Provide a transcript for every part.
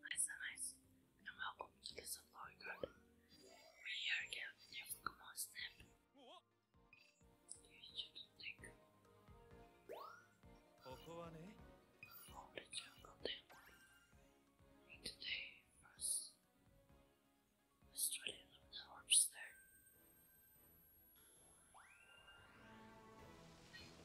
Nice and nice. And welcome to the supply garden. We here get Pokemon Snap. today first let's try to look the orbs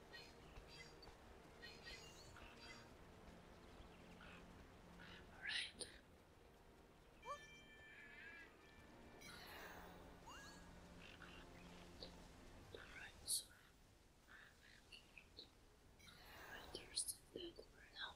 Alright. Alright, so I understand that for now.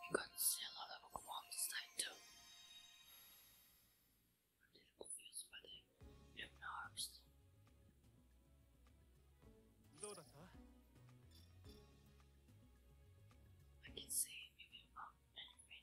You can see a lot of Pokemon this time too. I'm confused by the Hypno Arms. どうだった I can see you will not anything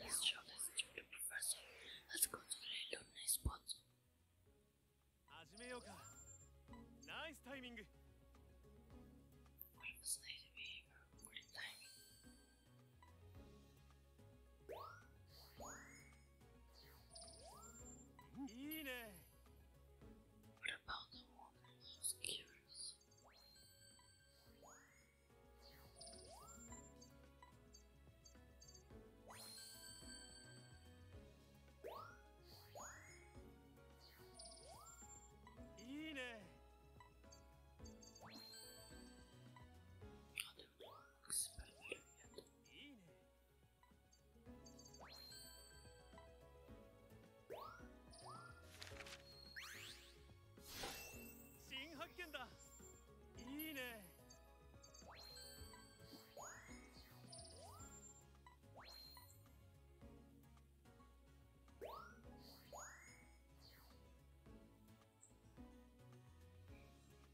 Let's show this to the professor. Let's go to the lonely spot. 始めようか。ナイスタイミング。What was nice behavior? Good timing. What about the woman who's curious? Not everyone looks familiar yet. 新発見だいいね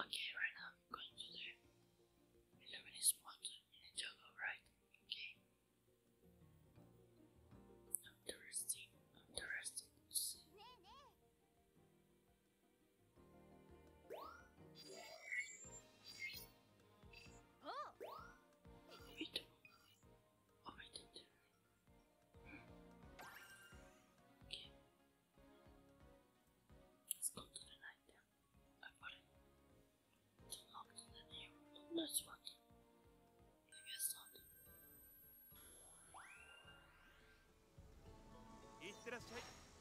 Okay, right now I'm going to do 11 is water in a jug, alright? Okay. I'm Oh. Wait. Oh, I did Let's go to the night then. I put it. It's unlocked in the new. That's what. I guess not. いってらっしゃい。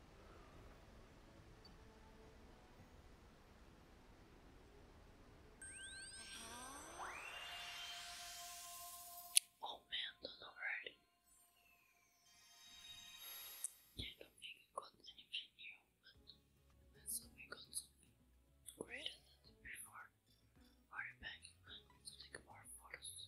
Oh man, don't already. I do got anything new, but let's got something greater than before. Hurry back and take more photos.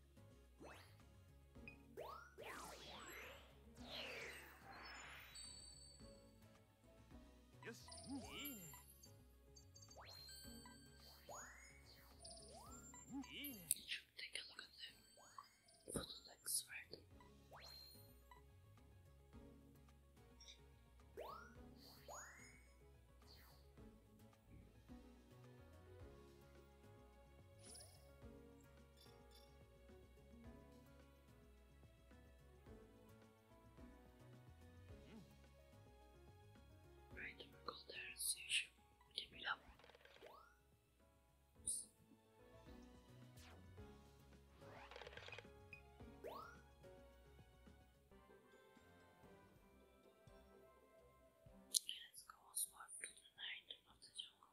よしいいねいいね Take a look at the bottlenecks, right? Random you. bu gibi laf. Let's go on the night of the jungle.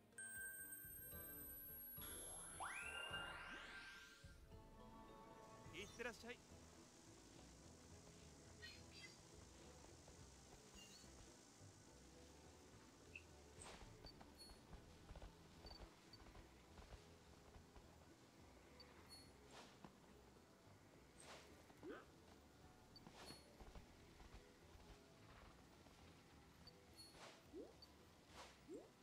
いってらっしゃい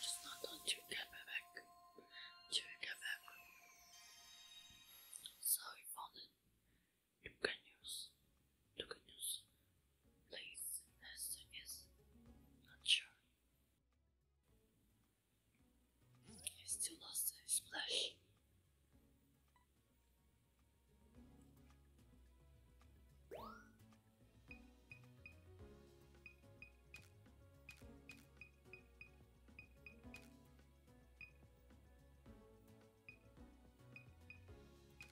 Just not on your back. Check back. So we found Lucanus, Lucanus place Hester is not sure. He still lost his flesh.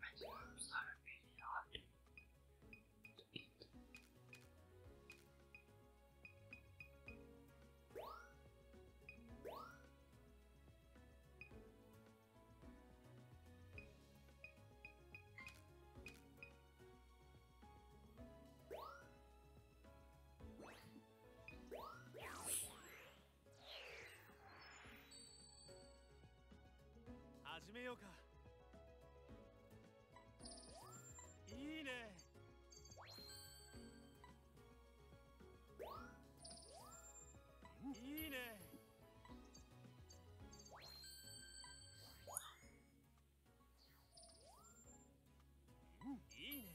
Mushrooms are really hard to eat. Mushrooms 始めようかいいねいいねいいね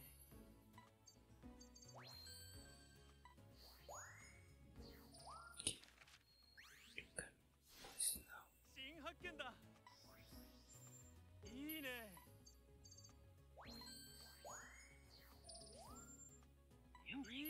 新発見だいいねいいねいいね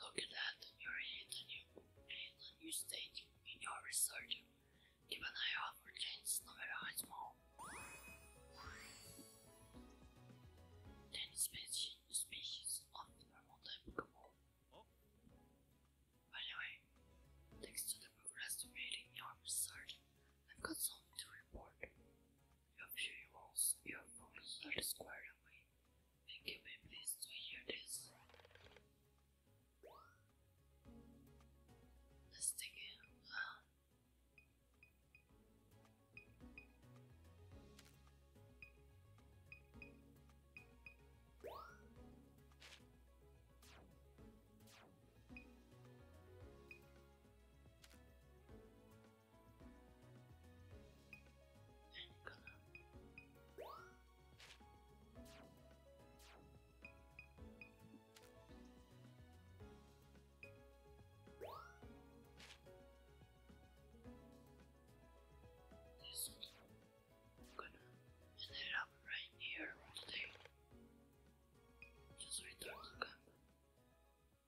Look at that, you're in a new, in a new stage in your research. Keep an eye out for no matter how small. Ten species, species of the mountain Pokemon. Oh. By thanks to the progress made in your research, I've got something to report. Your viewers, your ponies are squared away. Thank you, Please to hear Let's take it. This i gonna end up right here today. Just return to camp.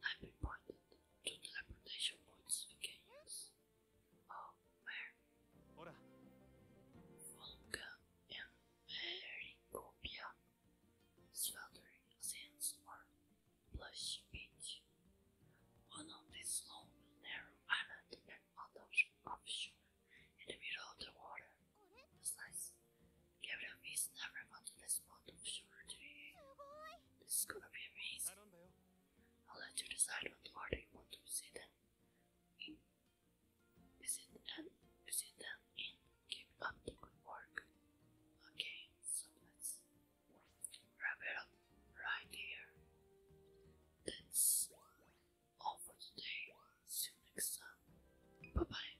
I've been pointed to the points we can use. Oh, where? Volga and Mericopia, sweltering sands or plush beach. One of these long, narrow islands and on offshore, in the middle of the water. It's nice. Gabriel is never found this spot of shore today. This is gonna be amazing. I'll let you decide what order you want to visit Visit and visit them in. Keep up the good work. Okay, so let's wrap it up right here. That's all for today. See you next time. Bye bye.